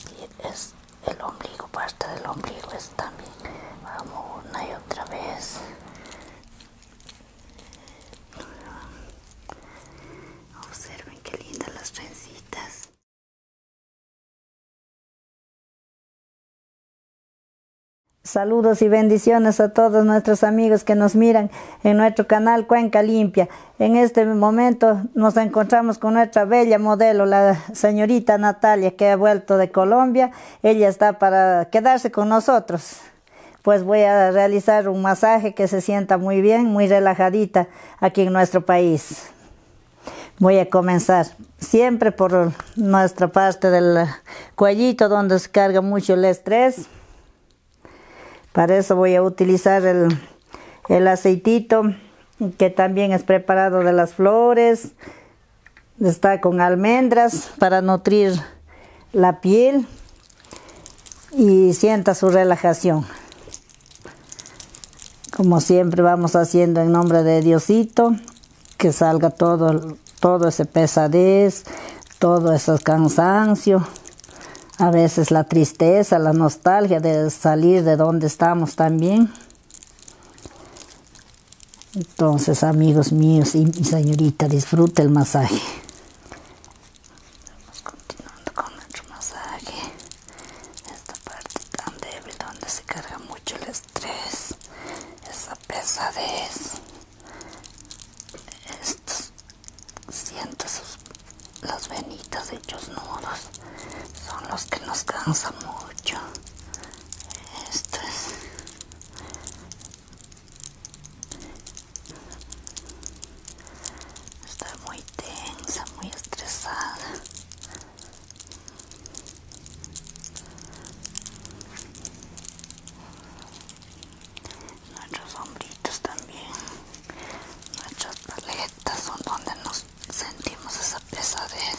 Así es el ombligo, parte del ombligo es también. Vamos una y otra vez. Observen qué lindas las trencitas. Saludos y bendiciones a todos nuestros amigos que nos miran en nuestro canal Cuenca Limpia. En este momento nos encontramos con nuestra bella modelo, la señorita Natalia, que ha vuelto de Colombia. Ella está para quedarse con nosotros. Pues voy a realizar un masaje que se sienta muy bien, muy relajadita aquí en nuestro país. Voy a comenzar siempre por nuestra parte del cuellito donde se carga mucho el estrés. Para eso voy a utilizar el, el aceitito que también es preparado de las flores. Está con almendras para nutrir la piel y sienta su relajación. Como siempre vamos haciendo en nombre de Diosito, que salga todo, todo ese pesadez, todo ese cansancio a veces la tristeza, la nostalgia de salir de donde estamos también. Entonces, amigos míos y señorita, disfrute el masaje. continuando con nuestro masaje. Esta parte tan débil donde se carga mucho el estrés, esa pesadez, Esto siento las venitas hechos nudos son los que nos cansan mucho esto es estoy muy tensa muy estresada nuestros hombritos también nuestras paletas son donde nos sentimos esa pesadez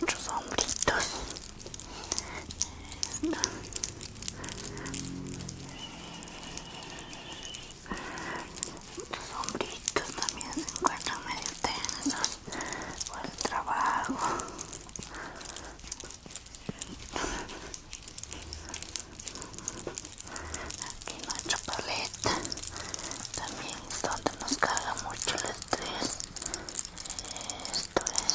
nuestros hombritos los hombritos también se encuentran medio tensos por el trabajo Aquí nuestra paleta también es donde nos carga mucho el estrés. Esto es.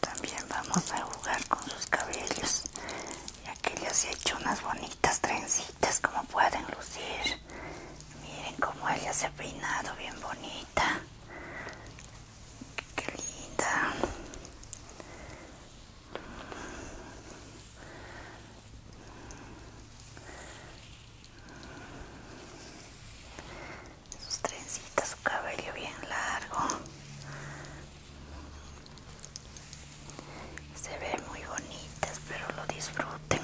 También vamos a jugar con sus cabellos, ya que les he hecho unas bonitas trencitas como pueden lucir. Miren cómo ella se ha peinado bien bonita. Qué linda sus trencitas, su cabello bien largo. Se ve muy bonitas, pero lo disfruten.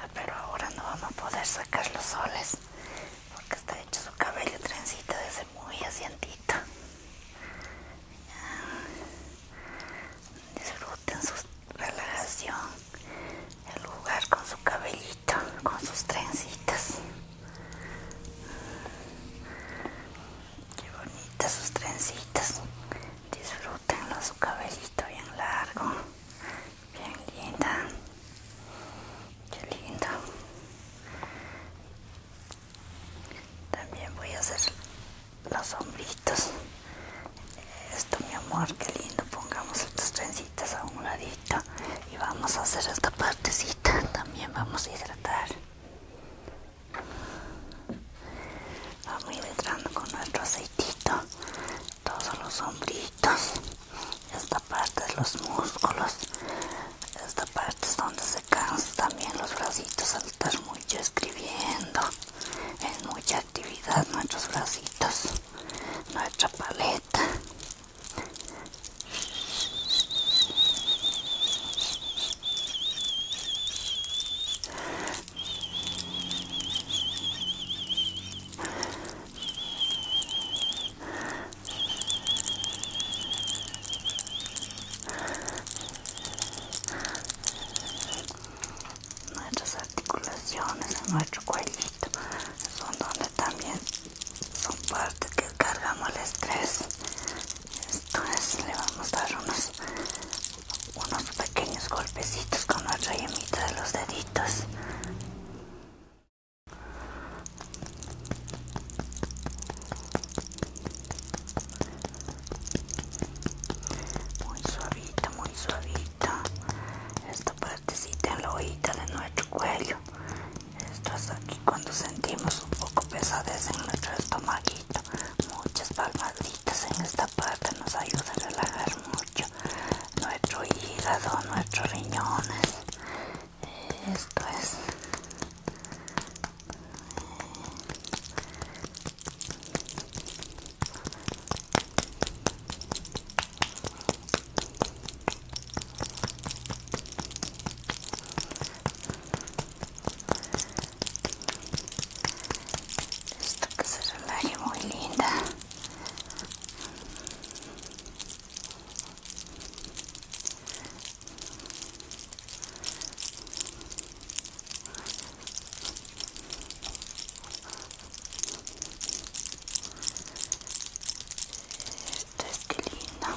Ah, pero ahora no vamos a poder sacar los soles porque está hecho su cabello trencito desde muy asientito. Disfruten su relajación, el lugar con su cabellito, con sus trencitas. Qué bonitas sus trencitas. Disfrútenlo, su cabellito bien largo, bien linda. Qué lindo. También voy a hacer los hombritos. Esto mi amor, qué lindo. Pongamos estas trencitas a un ladito y vamos a hacer esta partecita. También vamos a hidratar. Vamos hidratando con nuestro aceitito todos los hombritos. Esta parte de los músculos esta parte es donde se cansan también los bracitos al estar mucho escribiendo es mucha actividad nuestros bracitos nuestra paleta nuestras articulaciones nuestro cuellito son donde también son parte que cargamos el estrés entonces le vamos a dar unos unos pequeños golpecitos con nuestra yemita de los deditos muy suavita muy suavita esta partecita en la hojita de nuestro cuello esto es aquí cuando sentimos un poco pesadez en nuestro estomaguito muchas palmaditas en esta parte nos ayuda a relajar mucho nuestro hígado nuestros riñones esto es esto que se relaje muy linda esto es que linda.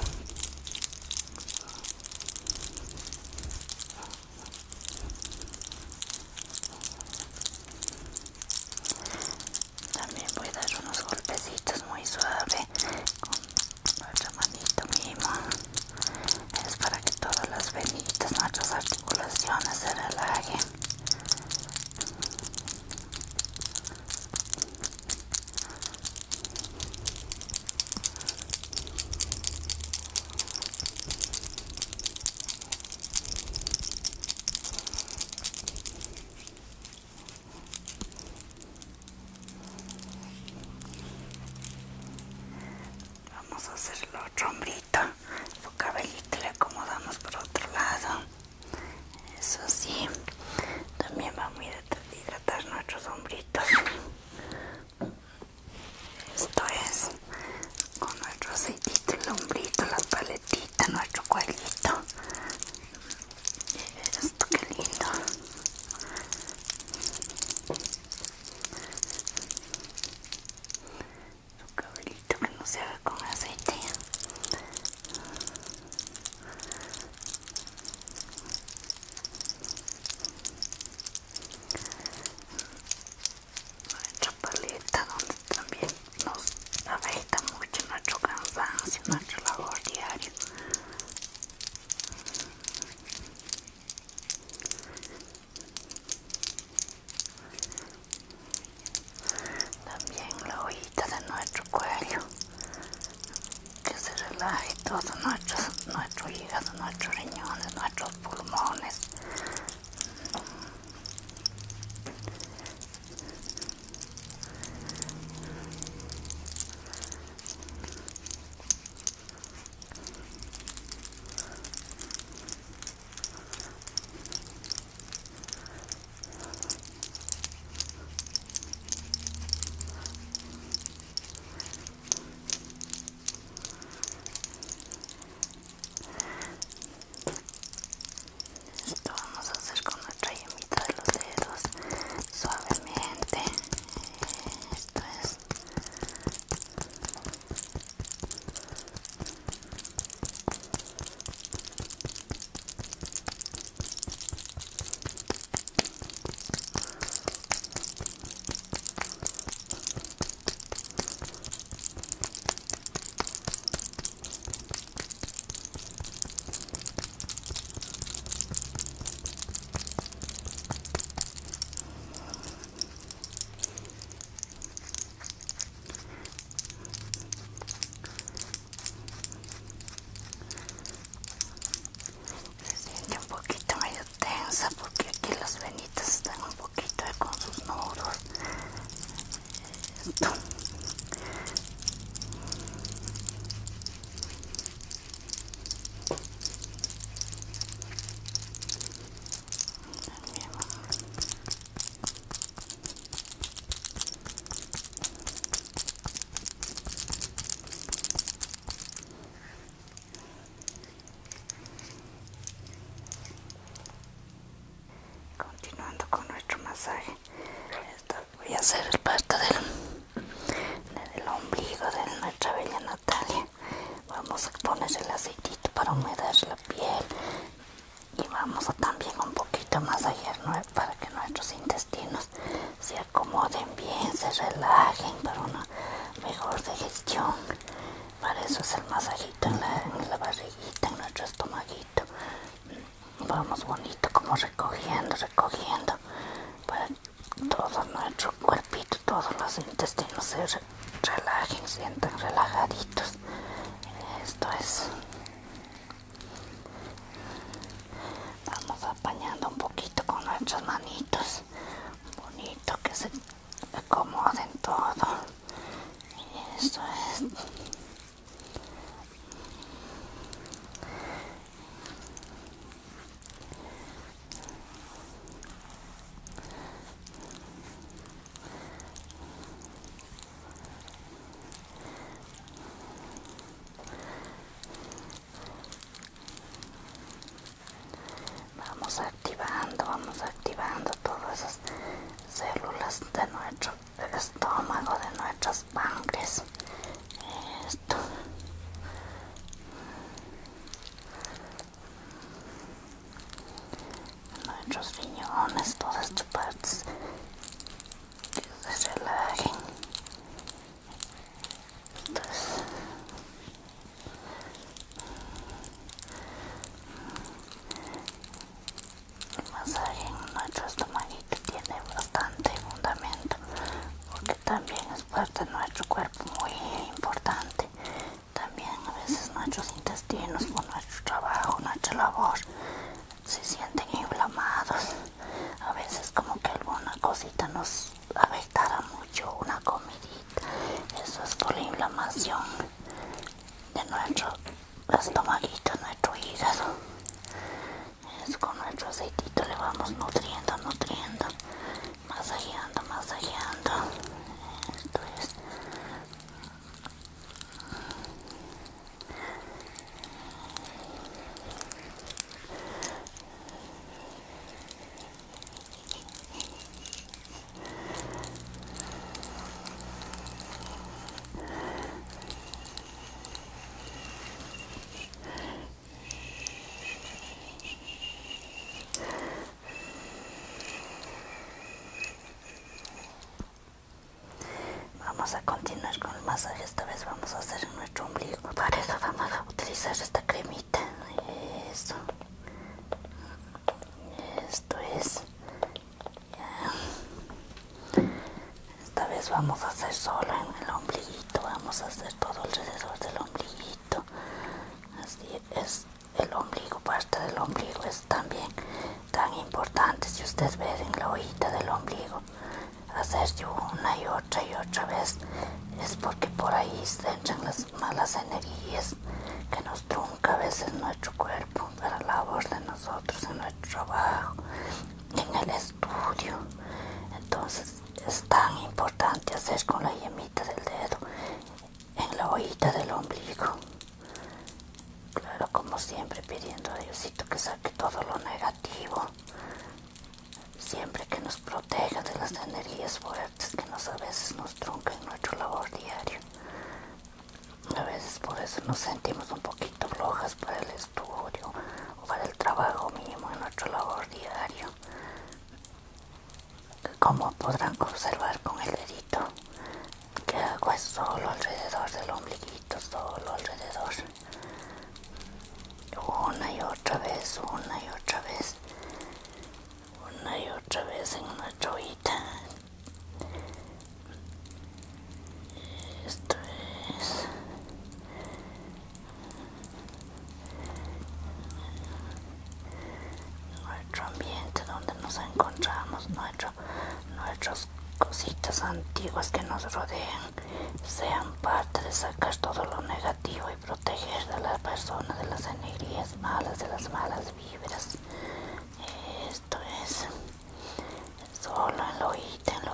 También voy a dar unos golpecitos muy suaves otra manito mismo es para que todas las venitas, nuestras articulaciones se relajen. Vamos a hacer el otro hombrito, Su cabellito le acomodamos por otro lado. Eso sí. También vamos a hidratar nuestros hombritos. Esto es con nuestro aceitito, el hombrito, la paletita, nuestro cuadrito esto qué lindo. Su cabellito que no se ve con aceite. Nuestra paleta donde también nos afecta mucho nuestro cansancio, nuestro labor diario. También la hojita de nuestro cuello, que se relaje todo nuestro, nuestro hígado, nuestros riñones, nuestros pulmones. Esto vamos a hacer con nuestra ahí en mitad de los dedos suavemente esto es se siente un poquito medio tensa porque aquí las venitas están un poquito con sus nudos. Continuando con nuestro masaje, voy a hacer el parto del, ombligo de nuestra bella Natalia vamos a poner el aceitito para humedar la piel y vamos a también un poquito más allá para que nuestros intestinos se acomoden bien, se relajen para una mejor digestión para eso es el masajito en la, en la barriguita, en nuestro estomaguito vamos bonito como recogiendo recogiendo para todo nuestro cuerpito todos los intestinos se relajen, relajen sientan relajaditos esto es vamos apañando un poquito con nuestras manitos bonito que se acomoden todo esto es Vamos activando, vamos activando todas esas células de nuestro estómago, de nuestros sangres nuestros riñones todas tus partes que se relajen el masaje en nuestro estomaguito tiene bastante fundamento porque también es parte de nuestro cuerpo muy importante también a veces nuestros intestinos por nuestro trabajo nuestra labor se sienten inflamados a veces como que alguna cosita nos afectara mucho una comidita eso es por la inflamación de nuestro estomaguito nuestro hígado con nuestro aceitito le vamos nutriendo, nutriendo, masajeando, masajeando. Esto Vamos a continuar con el masaje, esta vez vamos a hacer en nuestro ombligo. Para eso vamos a utilizar esta cremita. Eso. Esto es. Esta vez vamos a hacer solo en el ombliguito, vamos a hacer todo alrededor del ombliguito. Así es, el ombligo, parte del ombligo es también tan importante. Si ustedes ven en la hojita del ombligo, hacerse una y otra y otra vez es porque por ahí se entran las malas energías que nos trunca a veces nuestro cuerpo para la labor de nosotros en nuestro trabajo en el estudio entonces es tan importante hacer con la yemita del dedo en la ojita del ombligo claro como siempre pidiendo a Diosito que saque todo lo negativo siempre que nos proteja de las energías fuertes que nos a veces nos truncan en nuestro labor diario a veces por eso nos sentimos un poquito flojas para el estudio para el trabajo mínimo en nuestro labor diario, Como podrán observar con el dedito que hago es solo alrededor del ombliguito, solo alrededor. Una y otra vez, una y otra vez, una y otra vez en una joyita. Esto es nuestro ambiente donde nos encontramos, nuestras cositas antiguas que nos rodean, sean parte de sacar todo lo negativo y proteger de las personas de las energías malas, de las malas vibras. Esto es solo en lo hojita, en en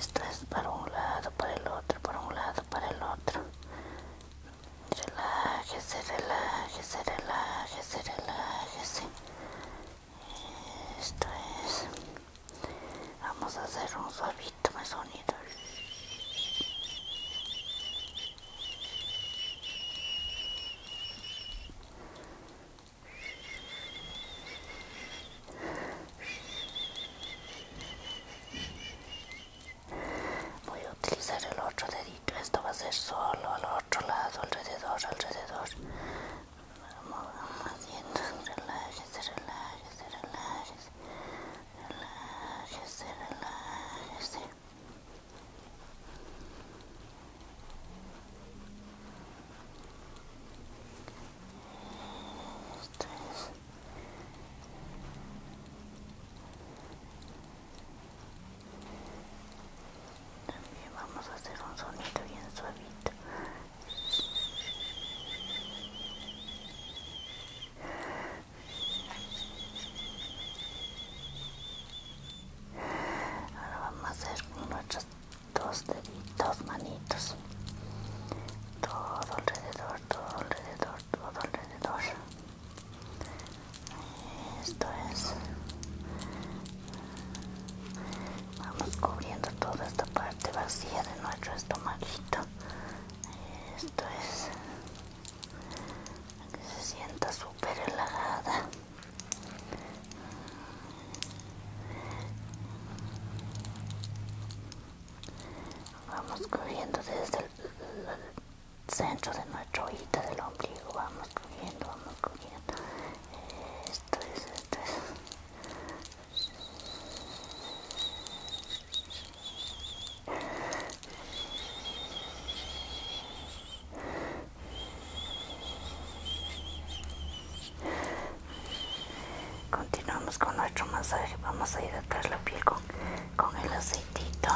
Esto es para un lado, para el otro, para un lado, para el otro. Relájese, relájese, relájese, relájese. Esto es. Vamos a hacer un suavito más sonido. Voy a utilizar el otro dedito, esto va a ser solo al otro lado, alrededor, alrededor. Vamos haciendo relájese, relájese, relájese, relájese, relájese. También vamos a hacer un sonido bien suavito. Ahora vamos a hacer nuestras dos deditos, manitos, todo alrededor, todo alrededor, todo alrededor. Esto es. Vamos cubriendo toda esta parte vacía de nuestro estomaguito. Esto es. Que se sienta súper relajada. Vamos corriendo desde el, centro de nuestro ojito del ombligo. Vamos corriendo, vamos corriendo Esto es, esto es. Continuamos con nuestro masaje. Vamos a hidratar la piel con, el aceitito.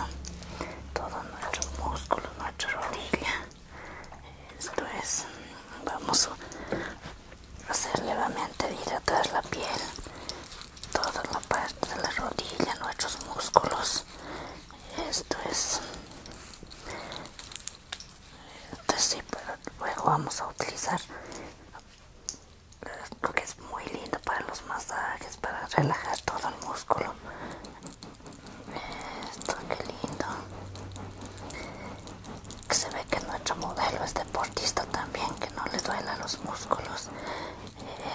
Todos nuestros músculos, nuestra rodilla. Esto es. Vamos a hacer levemente hidratar la piel. Toda la parte de la rodilla, nuestros músculos. Esto es entonces sí, pero luego vamos a utilizar esto que es muy lindo para los masajes, para relajar todo el músculo. Esto, que lindo. se ve que nuestro modelo es deportista también, que no le duela los músculos.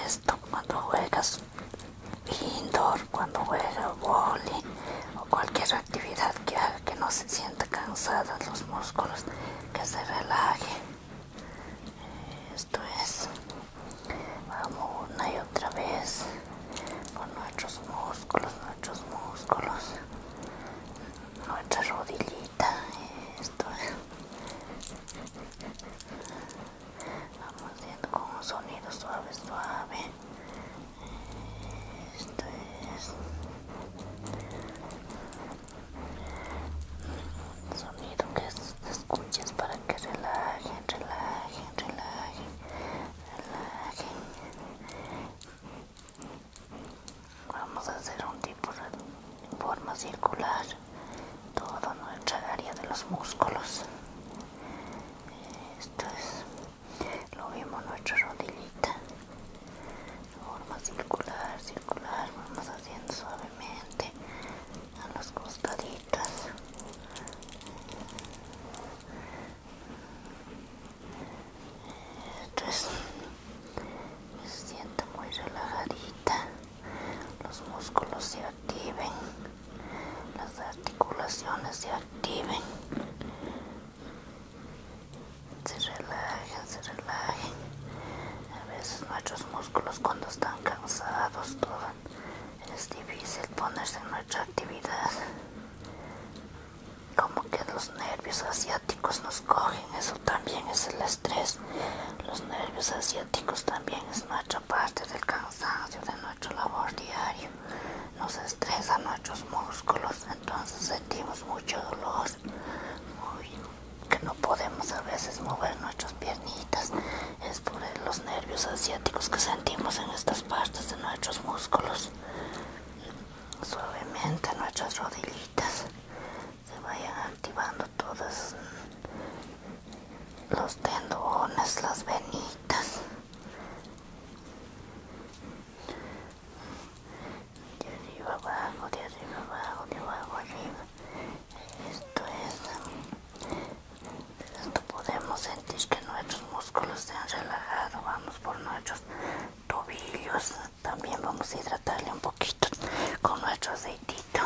Esto cuando juegas indoor, cuando juegas volley o cualquier actividad que haga que no se sienta cansada los músculos, que se relaje. Eh, esto es, vamos una y otra vez con nuestros músculos, nuestros músculos, nuestra rodillita. Esto es, vamos haciendo con un sonido suave, suave. Esto es sonido que escuches para que relajen, relajen, relajen, relajen. Vamos a hacer un tipo de forma circular toda nuestra área de los músculos. Esto es lo vimos nuestra rodillita forma circular circular vamos haciendo suavemente a las costaditas esto es me siento muy relajadita los músculos se activen las articulaciones se activen se relajan, se relajan. A veces nuestros músculos cuando están cansados, es difícil ponerse en nuestra actividad. Como que los nervios asiáticos nos cogen, eso también es el estrés. Los nervios asiáticos también es nuestra parte del cansancio de nuestro labor diario nos estresa nuestros músculos, entonces sentimos mucho dolor, que no podemos a veces mover nuestras piernitas, es por los nervios asiáticos que sentimos en estas partes de nuestros músculos. Suavemente nuestras rodillitas se vayan activando todos los tendones, las venitas de arriba abajo, de arriba abajo, de abajo arriba. Esto es. Mm, esto podemos sentir que nuestros músculos se han relajado. Vamos por nuestros tobillos. También vamos a hidratarle un poquito con nuestro aceitito.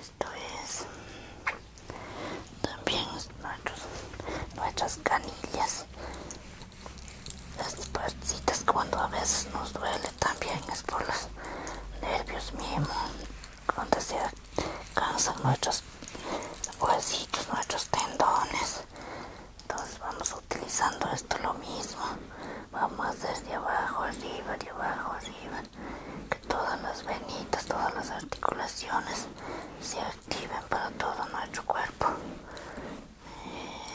Esto es. Mm, también nuestras canillas las partecitas cuando a veces nos duele también es por los nervios mismos cuando se cansan nuestros huesitos nuestros tendones entonces vamos utilizando esto lo mismo vamos a hacer de abajo arriba de abajo arriba que todas las venitas todas las articulaciones para todo nuestro cuerpo.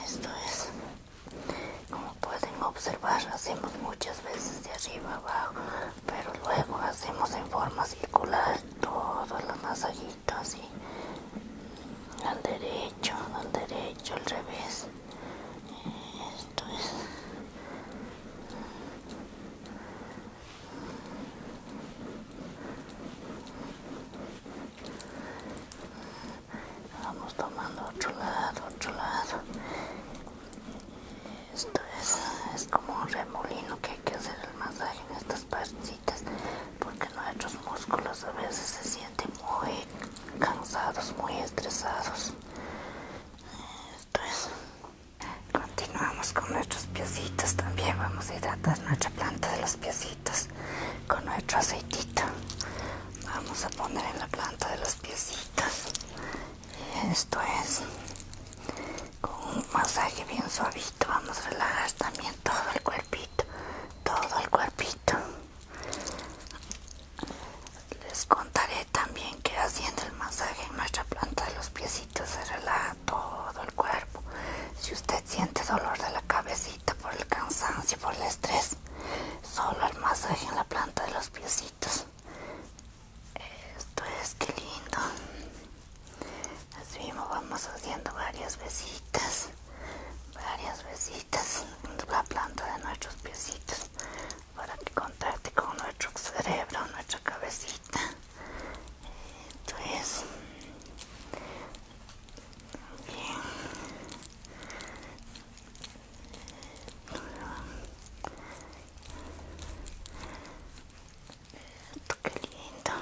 Esto es, como pueden observar, hacemos muchas veces de arriba abajo, pero luego hacemos en forma circular todos los masajitos así, al derecho, al derecho, al revés. Esto es. Vamos tomando otro lado, otro lado. Esto es, es como un remolino que hay que hacer el masaje en estas parcitas porque nuestros músculos a veces se sienten muy cansados, muy estresados. Esto es. Continuamos con nuestros piecitos también. Vamos a hidratar nuestra planta de los piecitos con nuestro aceitito. Vamos a poner en la planta de los piecitos. esto es con un masaje bien suavito. Vamos a relajar también todo el cuerpito. Todo el cuerpito. Les contaré también que haciendo el masaje en nuestra planta de los piecitos se relaja todo el cuerpo. Si usted siente dolor de la cabecita por el cansancio, por el estrés, solo el masaje en la planta de los piecitos. Esto es que lindo. Así mismo vamos haciendo varias besitas, varias besitas en la planta de nuestros piecitos para que contacte con nuestro cerebro, nuestra cabecita. Esto entonces bien Qué lindo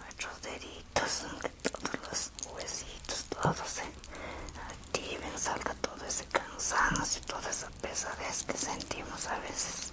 nuestros deditos todos los huesitos todos se activen salga todo ese cansancio toda esa pesadez que sentimos a veces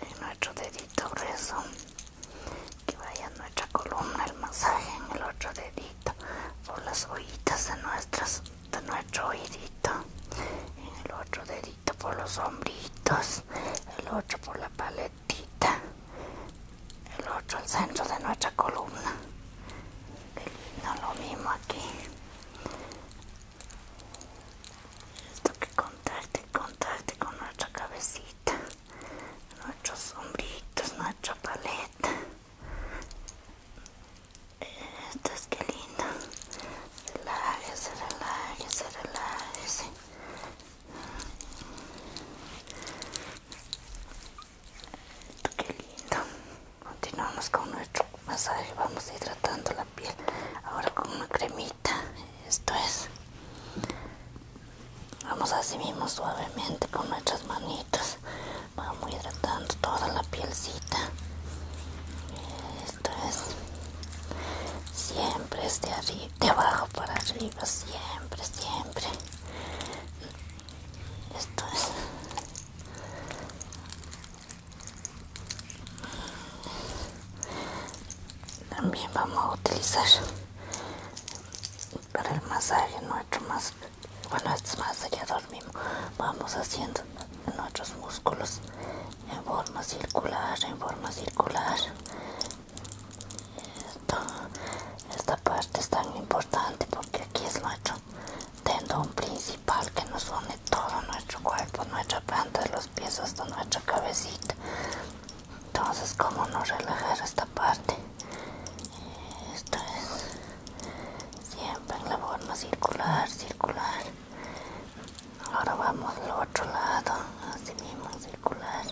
en nuestro dedito grueso que vaya nuestra columna el masaje en el otro dedito por las ojitas de nuestras de nuestro oídito en el otro dedito por los hombritos el otro por la paleta el otro al centro de nuestra columna qué lindo lo mismo aquí esto que contacte con nuestra cabecita nuestros sombritos nuestra paleta esto es que lindo relájese relájese relájese Qué lindo. Continuamos con nuestro masaje. Vamos hidratando la piel. Ahora con una cremita. Esto es. Vamos así mismo suavemente con nuestras manitas. Vamos hidratando toda la pielcita. Esto es. Siempre es arriba de abajo para arriba siempre siempre esto es también vamos a utilizar para el masaje nuestro más bueno es es allá mismo vamos haciendo nuestros músculos en forma circular en forma circular esta parte es tan importante porque aquí es nuestro tendón principal que nos une todo nuestro cuerpo, nuestra planta de los pies hasta nuestra cabecita. Entonces, ¿cómo no relajar esta parte? Esto es siempre en la forma circular, circular. Ahora vamos al otro lado, así mismo circular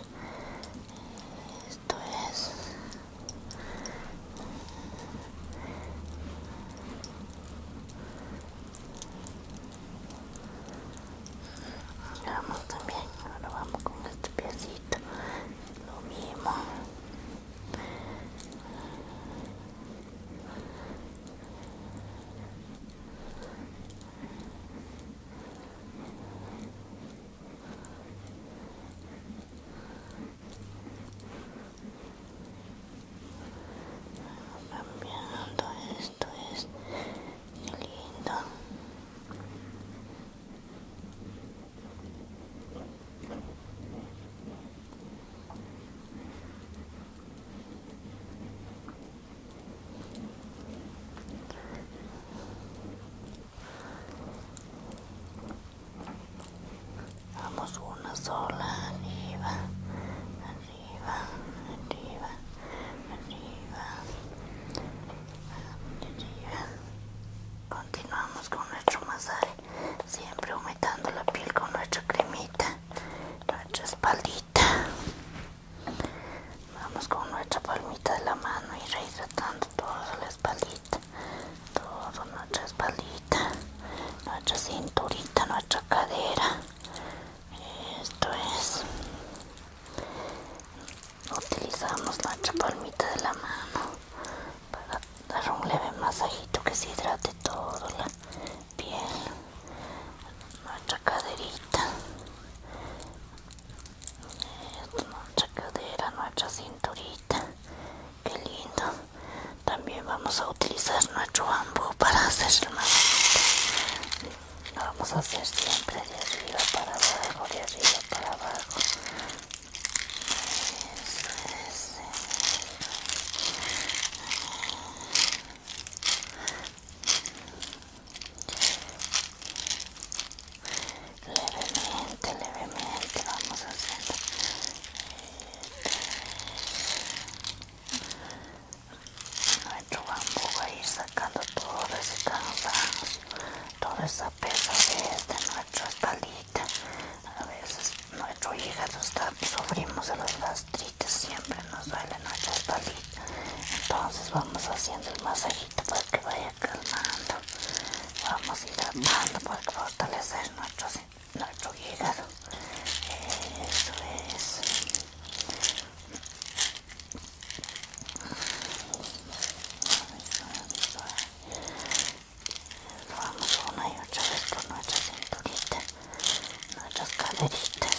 esto es vamos también ahora vamos con este piecito lo mismo cambiando esto es lindo Vamos una sola, arriba, arriba, arriba, arriba, arriba. Continuamos con nuestro masaje, siempre aumentando la piel con nuestra cremita, nuestra espaldita. Vamos con nuestra palmita de la mano y rehidratando toda la espalda toda nuestra espalda nuestra cinturita, nuestra cadera. Esto es. Utilizamos nuestra palmita de la mano para dar un leve masajito que se hidrate toda la piel, nuestra caderita, nuestra cadera, nuestra cinturita. que lindo. También vamos a utilizar nuestro bambú para hacer la Lo vamos a hacer siempre de arriba para abajo, de arriba para abajo levemente levemente vamos haciendo nuestro bambú va a ir sacando todo ese cansancio toda esa pesa que es de este, nuestra espalita a veces nuestro hígado está sufrimos de los gastritis siempre nos duele nuestra espalita entonces vamos haciendo el masaje masajito para que vaya calmando. Vamos a ir calmando para fortalecer nuestro, nuestro hígado. Eso es. Vamos una y otra vez por nuestra cinturita, nuestras caderitas.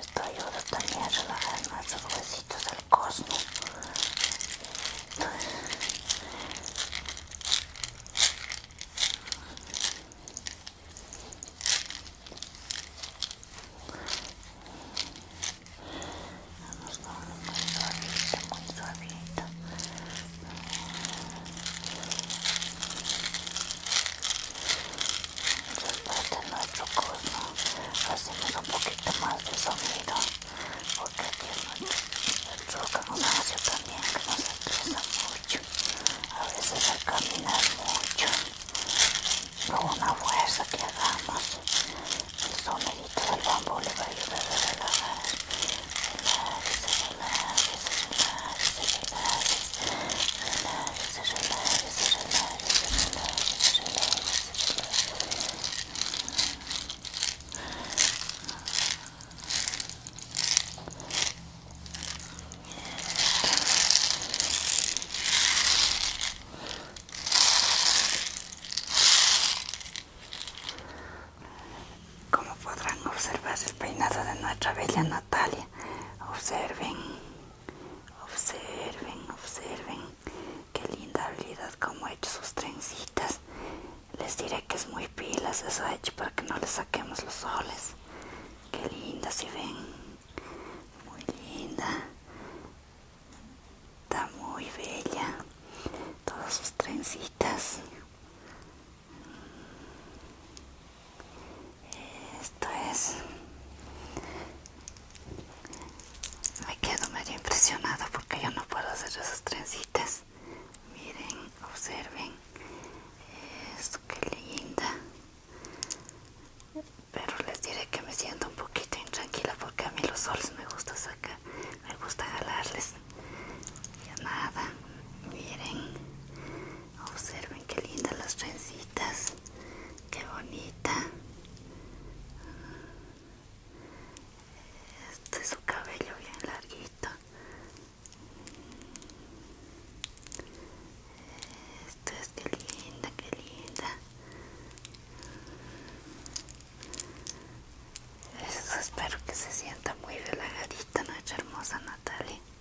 Esto ayuda también a relajar más los huesitos del cosmo. Vamos con muy suavito, muy suavito. no este nuestro hacemos un poquito más de sonido porque no también que nos mucho. A veces al caminar mucho, con una fuerza que hagamos, el del le va a ayudar a como podrán observar, el peinado de nuestra bella Natalia. Observen, observen, observen. Qué linda habilidad como ha hecho sus trencitas. Les diré que es muy pilas, eso ha hecho para que no le saquemos los soles. Qué linda, si ven. Muy linda. Está muy bella. Todas sus trencitas. Esto es... Me quedo medio impresionado porque yo no puedo hacer esas trencitas. Miren, observen. Esto qué linda. Pero les diré que me siento un poquito intranquila porque a mí los soles me gusta sacar, me gusta jalarles. Ya nada, miren observen qué lindas las trencitas qué bonita este es su cabello bien larguito esto es que linda que linda eso espero que se sienta muy relajadita nuestra hermosa Natalia